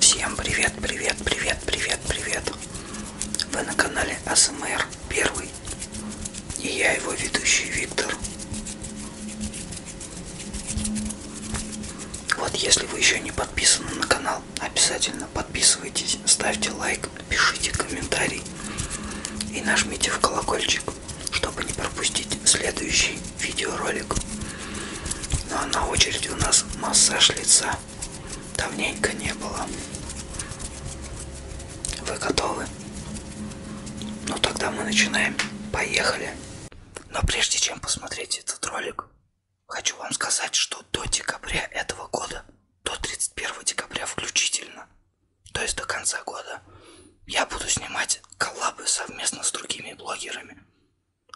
Всем привет, привет, привет, привет, привет. Вы на канале АСМР Первый. И я его ведущий Виктор. Вот если вы еще не подписаны на канал, обязательно подписывайтесь, ставьте лайк, пишите комментарий и нажмите в колокольчик чтобы не пропустить следующий видеоролик. Ну а на очереди у нас массаж лица. Давненько не было. Вы готовы? Ну тогда мы начинаем. Поехали. Но прежде чем посмотреть этот ролик, хочу вам сказать, что до декабря этого года, до 31 декабря включительно, то есть до конца года, я буду снимать коллабы совместно с другими блогерами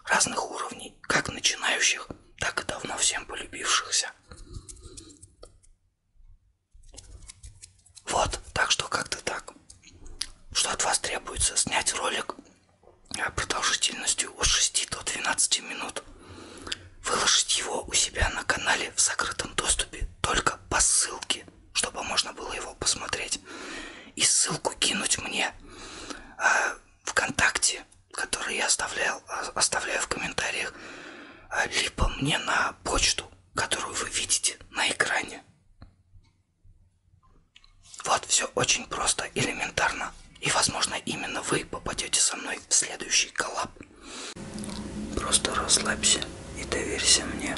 разных уровней, как начинающих, так и давно всем полюбившихся. Вот, так что как-то так. Что от вас требуется? Снять ролик продолжительностью от 6 до 12 минут. Выложить его у себя на канале в закрытом доступе только по ссылке чтобы можно было его посмотреть. И ссылку кинуть мне э, ВКонтакте, который я оставлял, э, оставляю в комментариях, э, либо мне на почту, которую вы видите на экране. Вот все очень просто, элементарно. И, возможно, именно вы попадете со мной в следующий коллаб. Просто расслабься и доверься мне.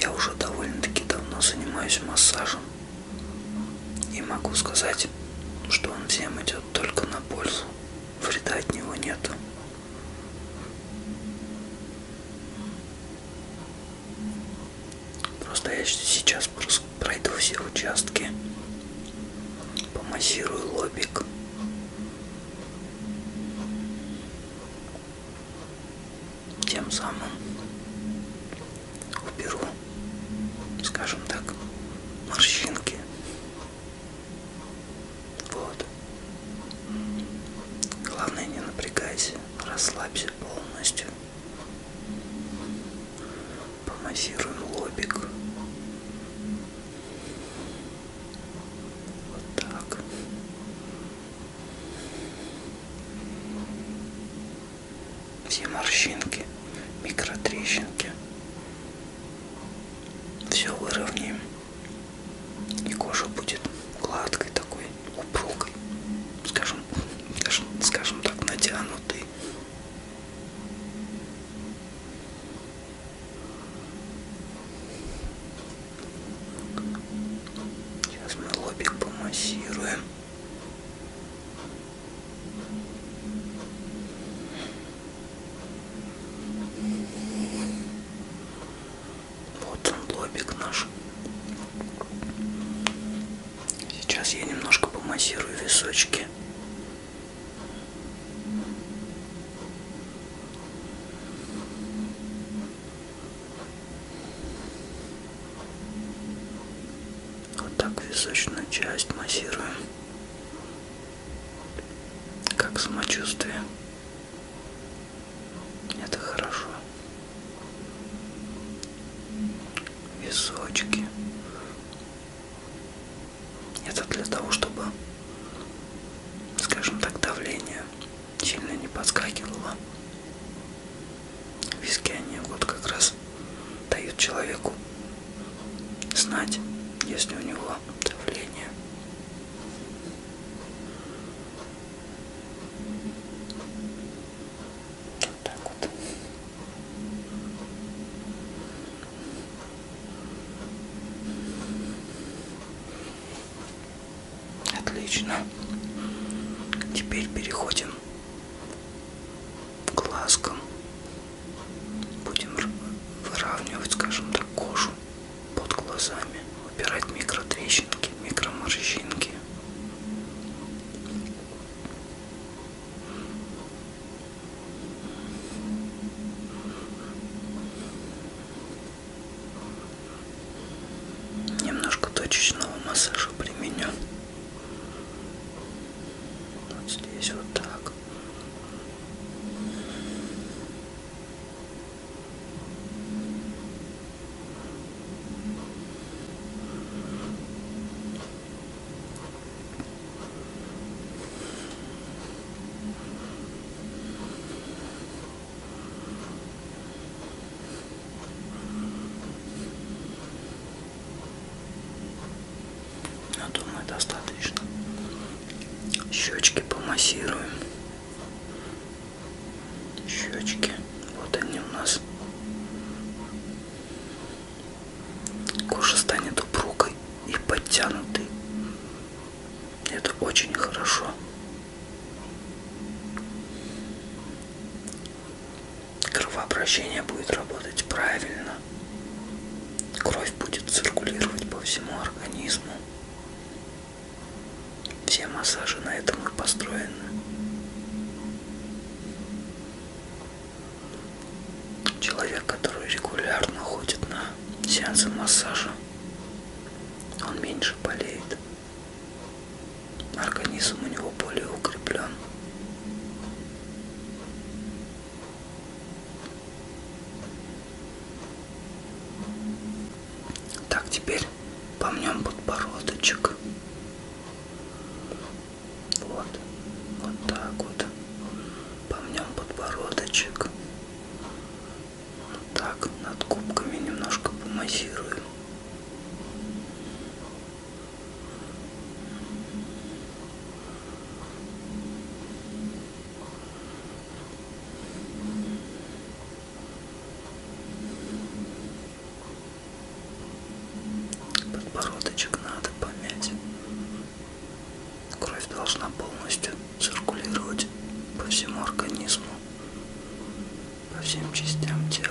Я уже довольно-таки давно занимаюсь массажем. И могу сказать, что он всем идет только на пользу. Вреда от него нету. Просто я сейчас пройду все участки, помассирую лобик, тем самым уберу, скажем так, морщинки. Вот. Главное не напрягайся, расслабься полностью. Помассируем лобик. Вот так. Все морщинки, микротрещинки. Все выровняем. И кожа будет гладкой такой, упругой. Скажем, скажем так, натянутой. Сейчас мы лобик помассируем. Вот он лобик наш. Сейчас я немножко помассирую височки. Вот так височную часть массируем. Как самочувствие. Это хорошо. Височки. Это для того, чтобы, скажем так, давление сильно не подскакивало. Виски они вот как раз дают человеку знать, если у него давление. Вот так вот. Отлично. Теперь переходим к глазкам. Будем выравнивать, скажем так, кожу под глазами, убирать микротрещинки, микроморщинки. Немножко точечного массажа применен. Вот здесь вот так. Я думаю, достаточно. Щечки помассируем. Щечки. Вот они у нас. Кожа станет упругой и подтянутой. Это очень хорошо. Кровообращение будет работать правильно. Кровь будет циркулировать по всему организму. Все массажи на этом и построены. Человек, который регулярно ходит на сеансы массажа, он меньше болеет. Организм у него более укреплен. Так, теперь помнем подбородочек. Вот. Вот так вот. Помнем подбородочек. Вот так. Над губками немножко помассируем. Подбородочек надо помять. Кровь должна полностью циркулировать по всему организму, по всем частям тела.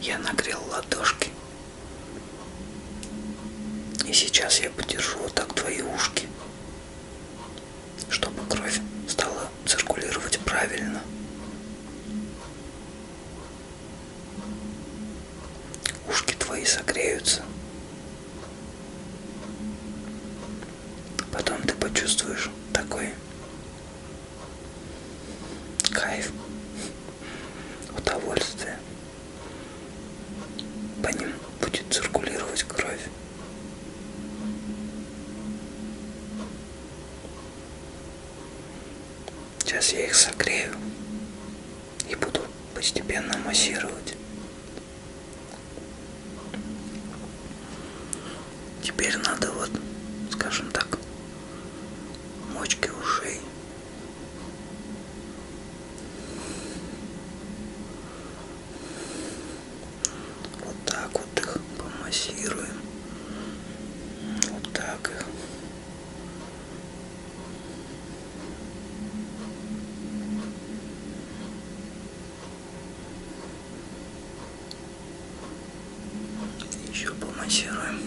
Я нагрел ладошки и сейчас я подержу вот так твои ушки, чтобы кровь стала циркулировать правильно. Ушки твои согреются. Потом ты почувствуешь такой кайф удовольствие. По ним будет циркулировать кровь. Сейчас я их согрею и буду постепенно массировать. Теперь надо вот, скажем так, мочки ушей вот так вот их помассируем. Вот так их. Еще помассируем.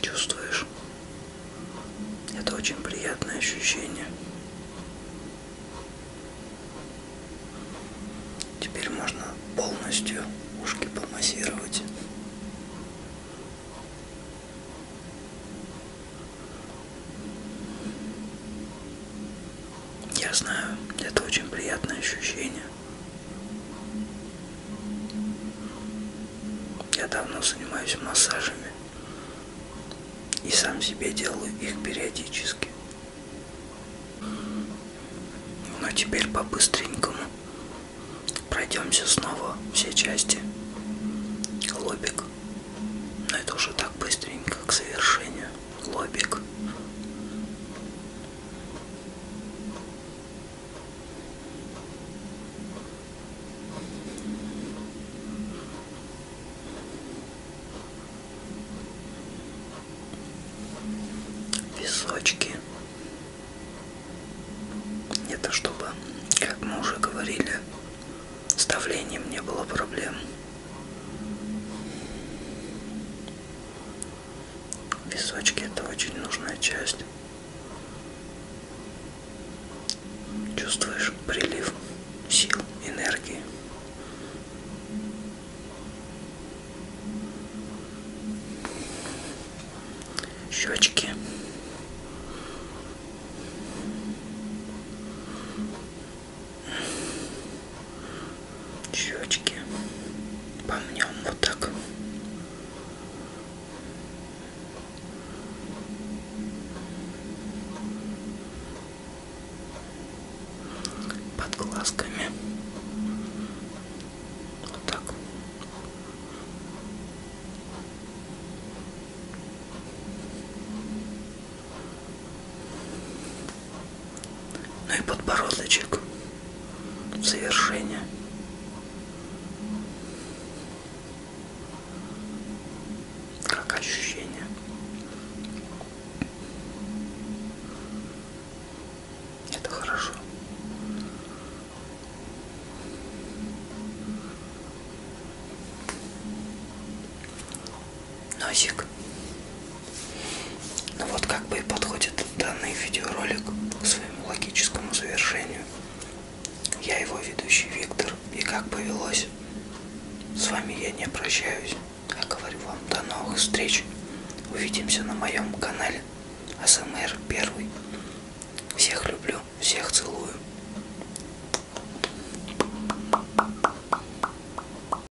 Чувствуешь? Это очень приятное ощущение. Теперь можно полностью ушки помассировать. Я знаю, это очень приятное ощущение. Я давно занимаюсь массажами и сам себе делаю их периодически. Но теперь по-быстренькому пройдемся снова все части. Лобик. Но это уже так быстренько к совершению. Лобик височки это чтобы как мы уже говорили с давлением не было проблем Височки это очень нужная часть. Чувствуешь прилив сил, энергии. Щечки щечки помнем вот так под глазками вот так ну и подбородочек в завершение. Как ощущение. Это хорошо носик. Ну вот как бы и подходит данный видеоролик к своему логическому завершению. Я его ведущий Виктор, и как повелось, с вами я не прощаюсь, а говорю вам до новых встреч. Увидимся на моем канале АСМР Первый. Всех люблю, всех целую.